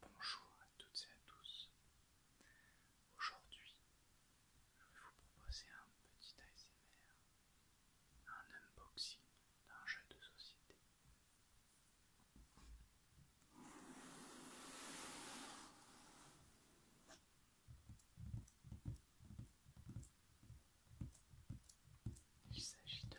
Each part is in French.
Bonjour à toutes et à tous. Aujourd'hui, je vais vous proposer un petit ASMR, un unboxing d'un jeu de société. Il s'agit de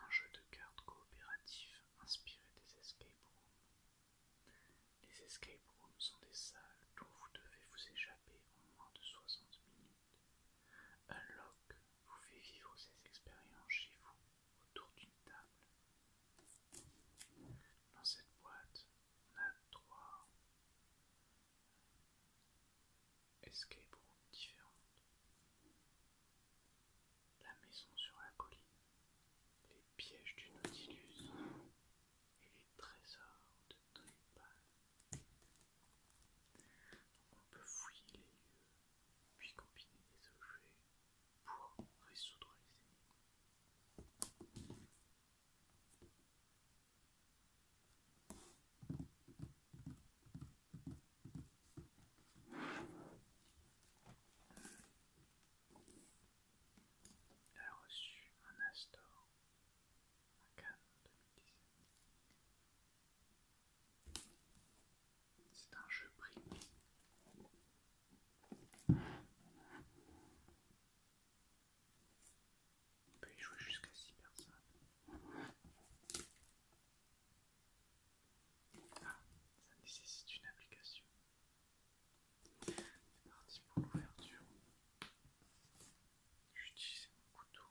Un jeu de cartes coopératif inspiré des escape rooms. Les escape rooms sont des salles dont vous devez vous échapper en moins de 60 minutes. lock vous fait vivre ces expériences chez vous autour d'une table. Dans cette boîte, on a trois Escape ce différente La maison sur la colline, les pièges du Nautilus et les trésors de Drupal. On peut fouiller les lieux, puis combiner des objets pour résoudre les énigmes. Il a reçu un Astor à Cannes 2017. C'est un jeu prix. On peut y jouer jusqu'à 6 personnes. Ah, ça nécessite une application. C'est parti pour l'ouverture. J'utilise mon couteau.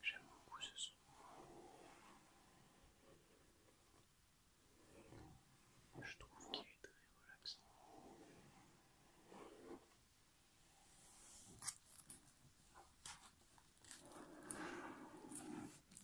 J'aime beaucoup ce son. Je trouve qu'il est très relaxant.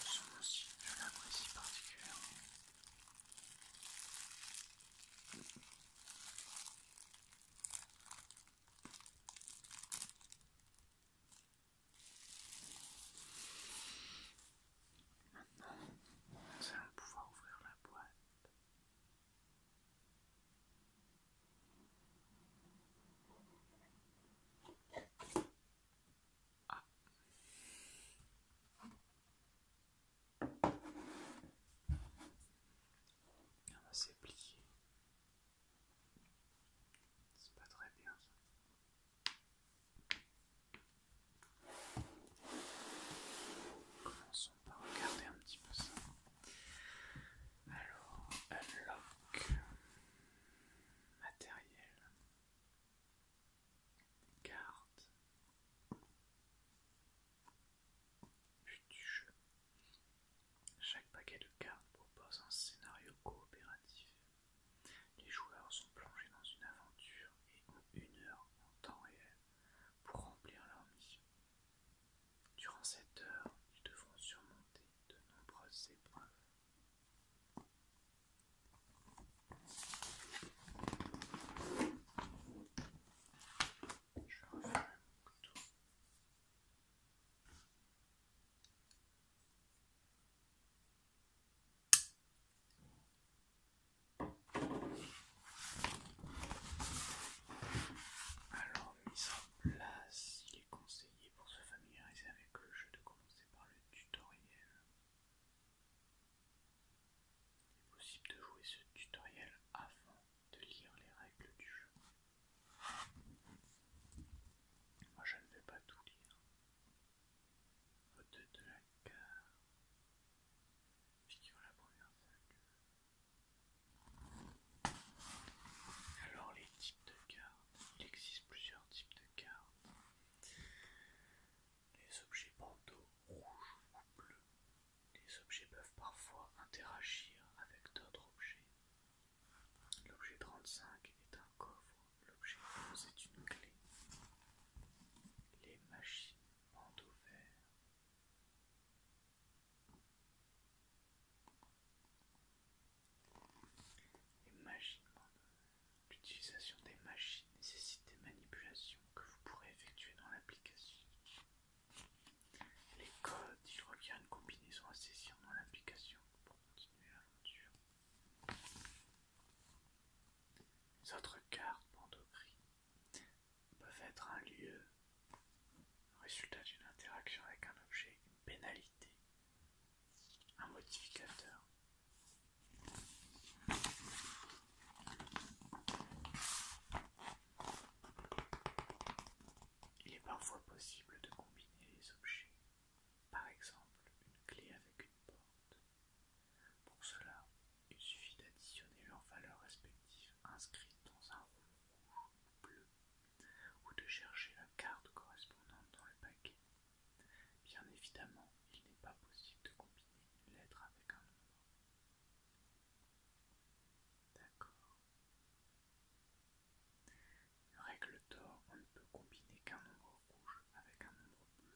Ce son aussi, je l'apprécie particulièrement. Maintenant, nous allons pouvoir ouvrir la boîte. Ah. Ah, c'est plié. C'est pas très bien ça. Commençons par regarder un petit peu ça. Alors, unlock matériel. Carte. du jeu. Chaque paquet de cartes propose un scénario coopératif. Les joueurs sont plongés dans une aventure et ont une heure en temps réel pour remplir leur mission. Durant cette heure, ils devront surmonter de nombreuses épreuves je Alors, mise en place, il est conseillé pour se familiariser avec. Que le jeu de commencer par le tutoriel. Il est possible de jouer ce tutoriel avant de lire les règles du jeu. Moi je ne vais pas tout lire. Hôte de la carte Figure la première salle. Alors les types de cartes. Il existe plusieurs types de les objets bandeaux rouges ou bleus. Les objets peuvent parfois interagir avec d'autres objets. L'objet 35 est un coffre, l'objet 11 est une clé. Les machines bandeaux verts. Les l'utilisation des machines nécessite des manipulations que vous pourrez effectuer dans l'application. Les codes, il à une combinaison à saisir dans l'application pour continuer l'aventure. Les autres cartes, bandeau gris, peuvent être un lieu, le résultat d'une interaction avec un objet, une pénalité, un modificateur. Il est parfois possible de combiner les objets, par exemple une clé avec une porte. Pour cela, il suffit d'additionner leurs valeurs respectives inscrites dans un rond rouge ou bleu, ou de chercher la carte correspondante dans le paquet. Bien évidemment, il n'est pas possible de combiner une lettre avec un nombre. D'accord. Règle d'or, on ne peut combiner qu'un nombre rouge avec un nombre bleu.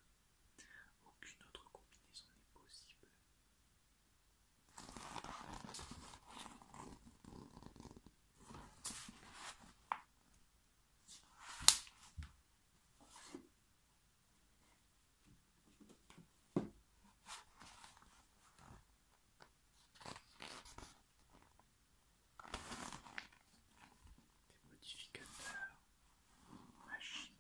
Aucune autre combinaison n'est possible. Des modificateurs, machines,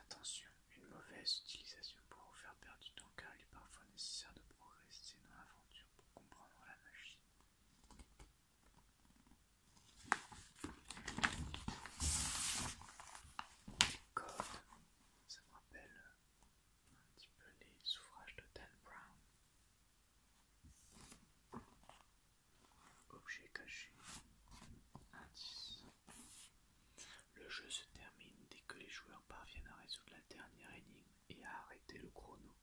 Attention, une mauvaise utilisation pour vous faire perdre du temps car il est parfois nécessaire de progresser dans l'aventure pour comprendre la machine. Les codes, ça me rappelle un petit peu les ouvrages de Dan Brown. Objet caché, indice. Le jeu se termine dès que les joueurs parviennent à résoudre la dernière énigme et à arrêter le chrono.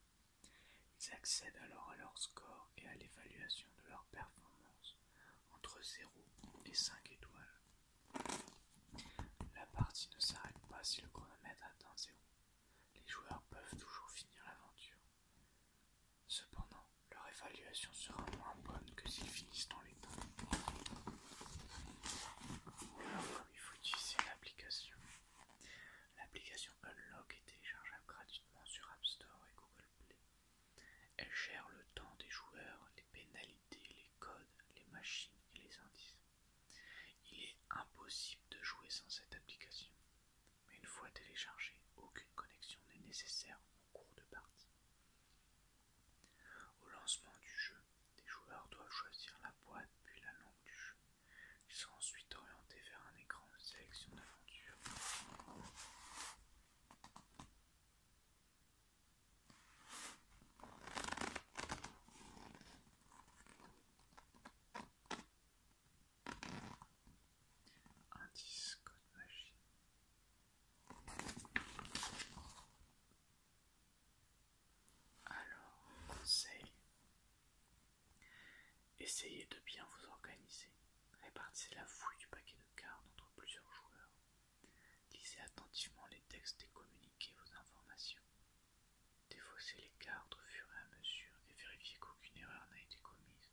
Ils accèdent alors à leur score et à l'évaluation de leur performance entre 0 et 5 étoiles. La partie ne s'arrête pas si le chronomètre atteint 0. Les joueurs peuvent toujours finir l'aventure. Cependant, leur évaluation sera moins bonne que s'ils finissent dans les temps il faut utiliser l'application. L'application Unlock est téléchargeable gratuitement sur App Store et Google Play. Elle gère le temps des joueurs, les pénalités, les codes, les machines et les indices. Il est impossible de jouer sans cette application, mais une fois téléchargée, aucune connexion n'est nécessaire au cours de partie. Au lancement du jeu, les joueurs doivent choisir la boîte puis la langue du jeu. Ils sont ensuite orientés vers un écran de sélection d'aventure. Indice code alors, conseil, essayez de bien vous organiser. Répartissez la fouille du paquet de cartes entre plusieurs joueurs. Lisez attentivement les textes et communiquez vos informations. Défaussez les cartes au fur et à mesure et vérifiez qu'aucune erreur n'a été commise.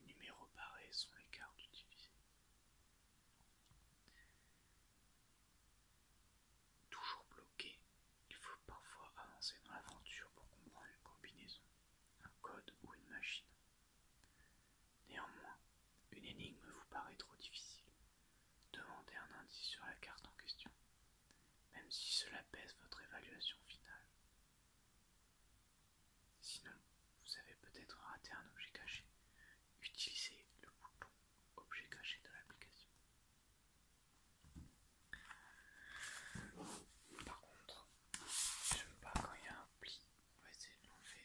Les numéros barrés sont les cartes utilisées. Toujours bloqué, il faut parfois avancer dans l'aventure pour comprendre une combinaison, un code ou une machine. Néanmoins, une énigme vous paraît trop difficile. Demandez un indice sur la carte en question, même si cela pèse votre évaluation finale. Sinon, vous avez peut-être raté un objet caché. Utilisez le bouton objet caché de l'application. Par contre, j'aime pas quand il y a un pli, on va essayer de l'enlever.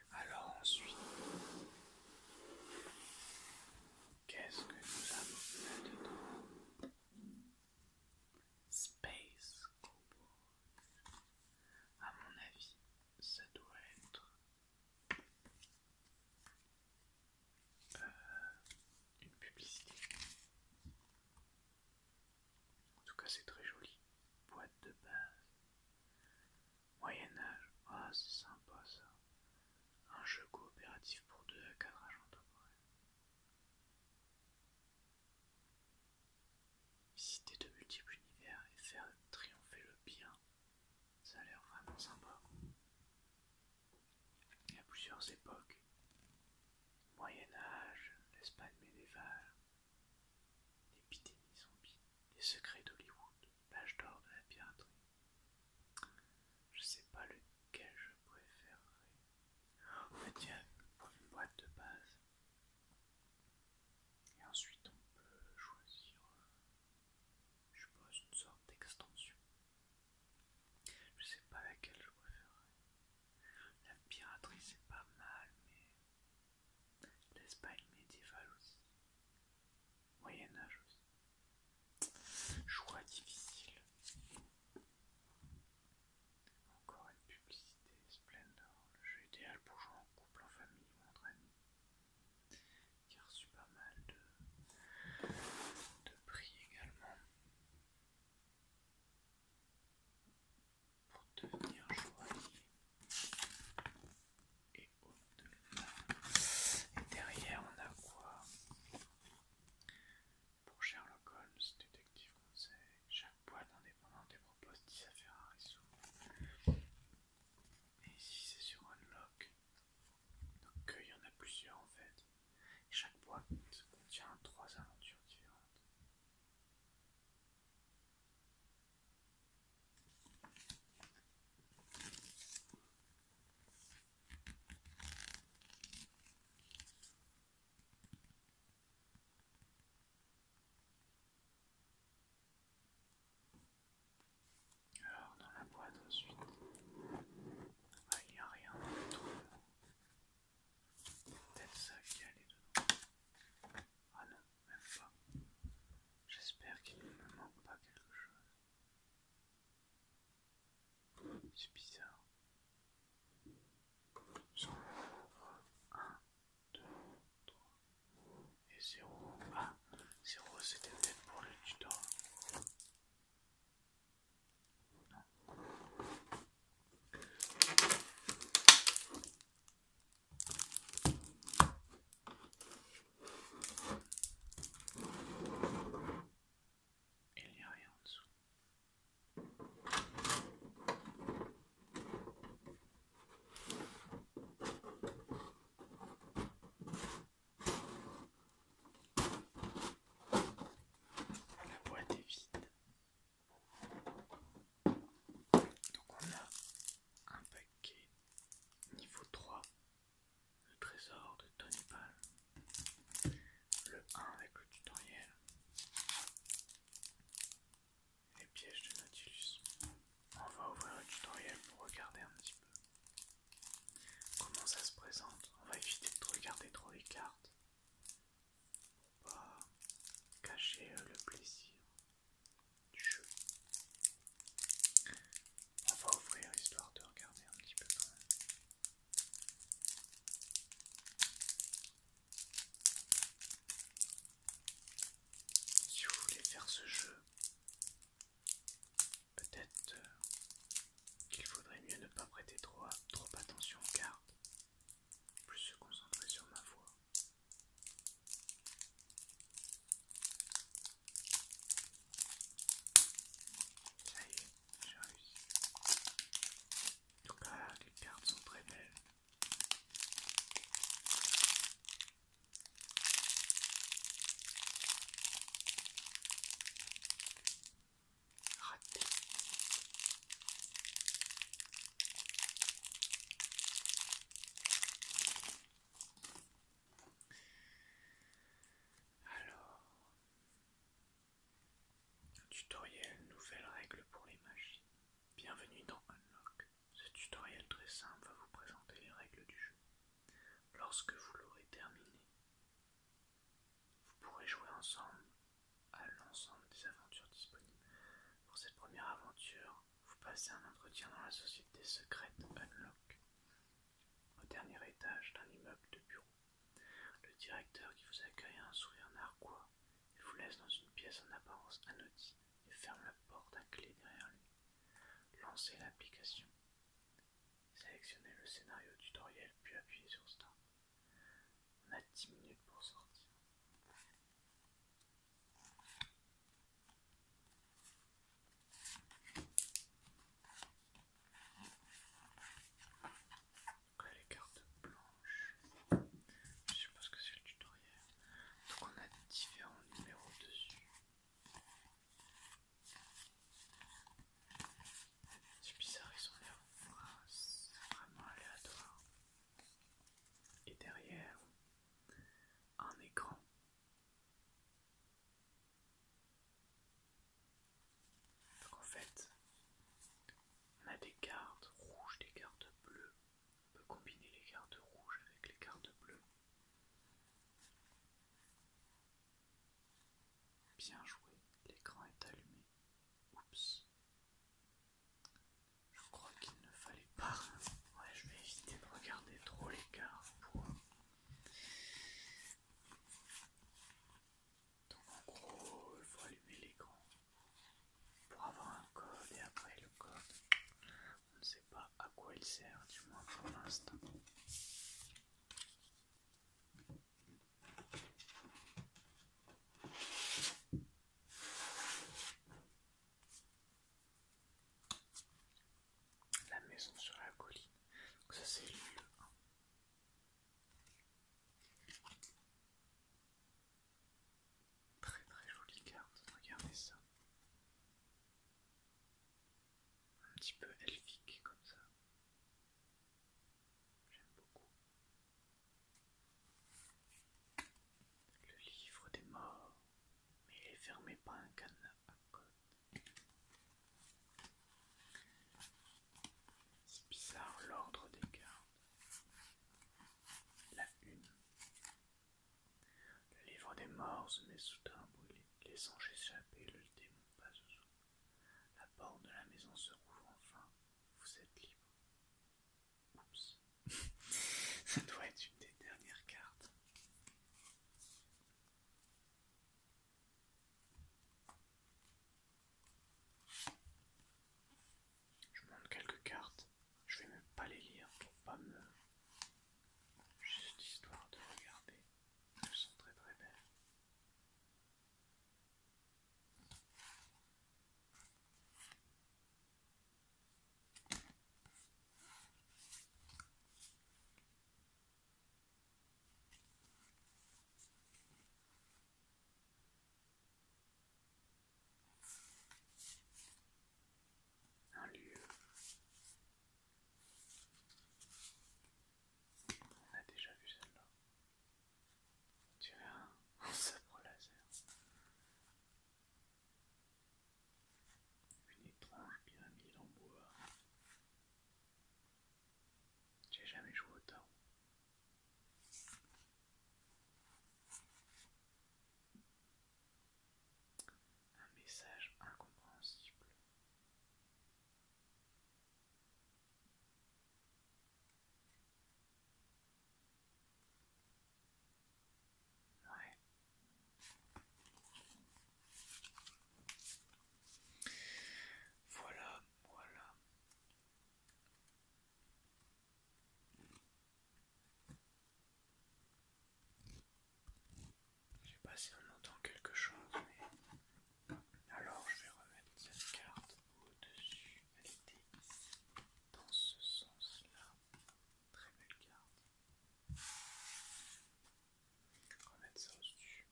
Alors ensuite, qu'est-ce que nous avons là-dedans Space Cowboy. À mon avis, ça doit être euh, une publicité. En tout cas, c'est très joli. Boîte de base. Moyen-Âge, ah, c'est sympa ça. Un jeu coopératif pour deux à quatre agents d'opérations. Visiter de multiples univers et faire triompher le bien, ça a l'air vraiment sympa. Il y a plusieurs époques. Moyen-Âge, l'Espagne médiévale, l'épidémie zombie, les secrets d'Hollywood l'âge d'or de la piraterie. Je sais pas lequel je préférerais. On va dire une boîte de base. Et ensuite on peut choisir, euh, je suppose, une sorte d'extension. Je sais pas laquelle je préférerais. La piraterie c'est pas mal, mais l'Espagne médiévale aussi. Moyen Âge aussi. Choix difficile. Encore une publicité, Splendor, le jeu idéal pour jouer en couple, en famille ou entre amis. Qui a reçu pas mal de, de prix également. Pour devenir joaillier et au derrière, on a quoi Pour Sherlock Holmes, détective conseil, chaque boîte indépendante et propose 10 affaires à résoudre. Et ici, c'est sur Unlock. Donc, euh, il y en a plusieurs en fait. chaque boîte contient trois aventures différentes. Alors dans la boîte ensuite, ah, il n'y a rien Peut-être ça qui allait dedans. Ah non, J'espère qu'il ne me manque pas quelque chose. C'est bizarre. 1, 2, 3 et 0. Ah, 0 c'était peut-être pour le tutor. Il n'y a rien en dessous. Ah, la boîte est vide. Donc on a un peu Ok Niveau 3, le trésor de Tony Le 1 avec le tutoriel. Les pièges de Nautilus. On va ouvrir le tutoriel pour regarder un petit peu comment ça se présente. On va éviter de regarder trop les cartes pour pas cacher euh, le plaisir du jeu. On va ouvrir histoire de regarder un petit peu quand même. Si vous voulez faire ce jeu, peut-être euh, qu'il faudrait mieux ne pas prêter trop, trop attention aux cartes, plus se concentrer sur ma voix. Ça y est, j'ai réussi. les cartes sont très belles. Alors, tutoriel nouvelle règle pour les machines. Bienvenue dans Unlock. Ce tutoriel très simple va vous présenter les règles du jeu. Lorsque vous l'aurez terminé, vous pourrez jouer ensemble à l'ensemble des aventures disponibles. Pour cette première aventure, vous passez un entretien dans la société secrète Unlock, au dernier étage d'un immeuble de bureau. Le directeur qui vous accueille a un sourire narquois. Il vous laisse dans une pièce en apparence anodine et ferme la porte à clé derrière lui. Lancez l'application. Sélectionnez le scénario tutoriel puis appuyez sur Start. On a 10 minutes pour sortir là les cartes blanches, je suppose que c'est le tutoriel. Donc on a différents numéros dessus. C'est bizarre, ils ont vraiment aléatoires. Et derrière, un écran. en fait, on a des cartes rouges, des cartes bleues. On peut combiner les cartes rouges avec les cartes bleues. Bien joué, l'écran est allumé. Oups. Je crois qu'il ne fallait pas. Ouais, je vais éviter de regarder trop l'écart pour. Donc en gros, il faut allumer l'écran pour avoir un code et après le code, on ne sait pas à quoi il sert, du moins pour l'instant. La maison sur la colline. ça c'est le Très très jolie carte, regardez ça. Un petit peu elfique comme ça. J'aime beaucoup. Le livre des morts, mais il est fermé par un cadenas à code. C'est bizarre l'ordre des gardes. La une. Le livre des morts se met soudain à brûler, laissant échapper le démon pas La porte de la maison se rouvre enfin. Vous êtes libre. Oups. Ça doit être une des dernières cartes. Je montre quelques cartes. Je vais même pas les lire pour pas me. Juste histoire de regarder. Elles sont très très belles. Un lieu. On a déjà vu celle-là. tu dirait un, un sabre laser. Une étrange pyramide en bois. J'ai jamais joué autant. Un message incompréhensible. Voilà, voilà. Je sais pas si on entend quelque chose, mais alors je vais remettre cette carte au-dessus dans ce sens-là, très belle carte. mettre ça au-dessus.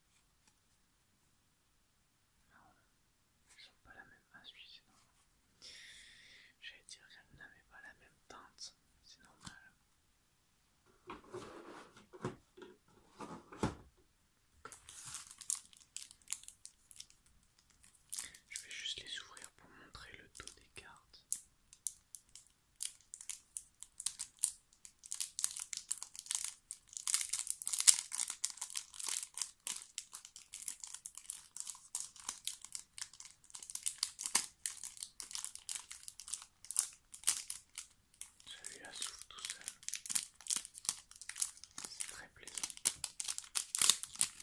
Non, elles n'ont pas la même. masse, c'est normal, J'allais dire qu'elles n'avaient pas la même teinte, c'est normal. Je vais juste les ouvrir pour montrer le dos des cartes. Celui-là s'ouvre tout seul. C'est très plaisant.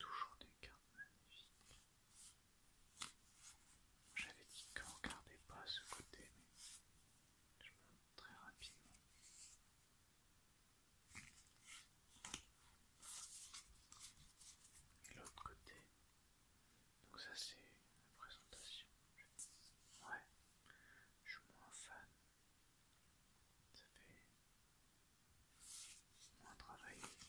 Toujours des cartes magnifiques. J'avais dit qu'on ne regardait pas ce côté, mais je me montre très rapidement. Et l'autre côté. Donc ça c'est la présentation. Ouais, je suis moins fan ça fait moins travail Et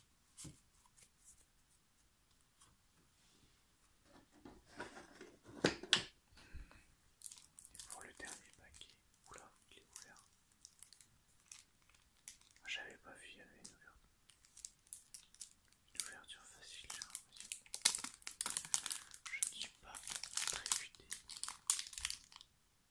pour le dernier paquet, oula, il est ouvert. Ah, j'avais pas vu, il y avait une ouverture. facile, j'ai l'impression. Je ne suis pas très vite.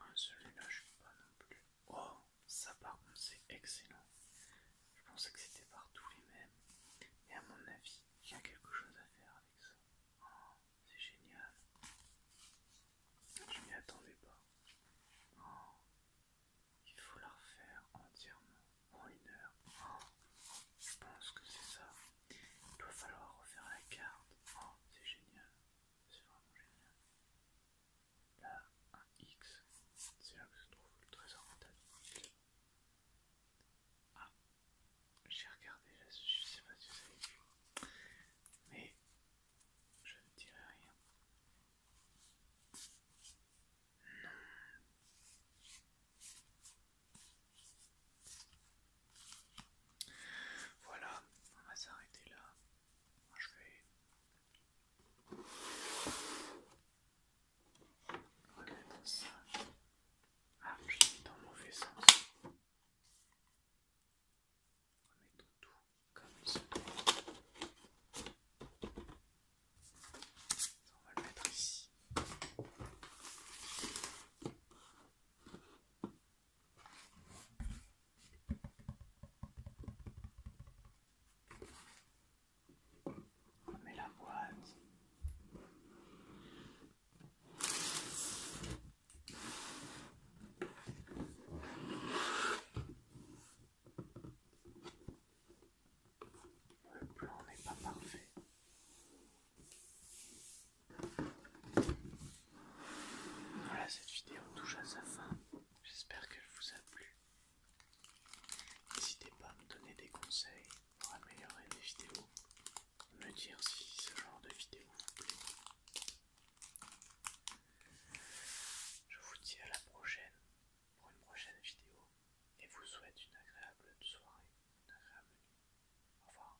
Ah, celui-là, je suis pas non plus. Oh, ça par contre, c'est excellent. Je pensais que c'était partout les mêmes. Et à mon avis, il y a quelque chose à faire avec ça. Oh, c'est génial. Je m'y attendais pas. Oh, il faut la refaire entièrement en une heure. Oh, je pense que c'est ça. Il doit falloir refaire la carte. Oh, c'est génial. C'est vraiment génial là un X, c'est là que se trouve le trésor métal. Ah, j'ai regardé là, je sais pas si vous avez vu, mais je ne dirai rien. Non. Voilà, on va s'arrêter là. Je vais remettre ça. Ah, je suis mis dans le mauvais sens. On va le mettre ici. On la boîte. Le plan n'est pas parfait. Voilà, cette vidéo touche à sa fin. J'espère qu'elle vous a plu. N'hésitez pas à me donner des conseils pour améliorer les vidéos. Me dire si ce genre de vidéo vous plaît. Je vous dis à la prochaine pour une prochaine vidéo et vous souhaite une agréable soirée, une agréable nuit. Au revoir.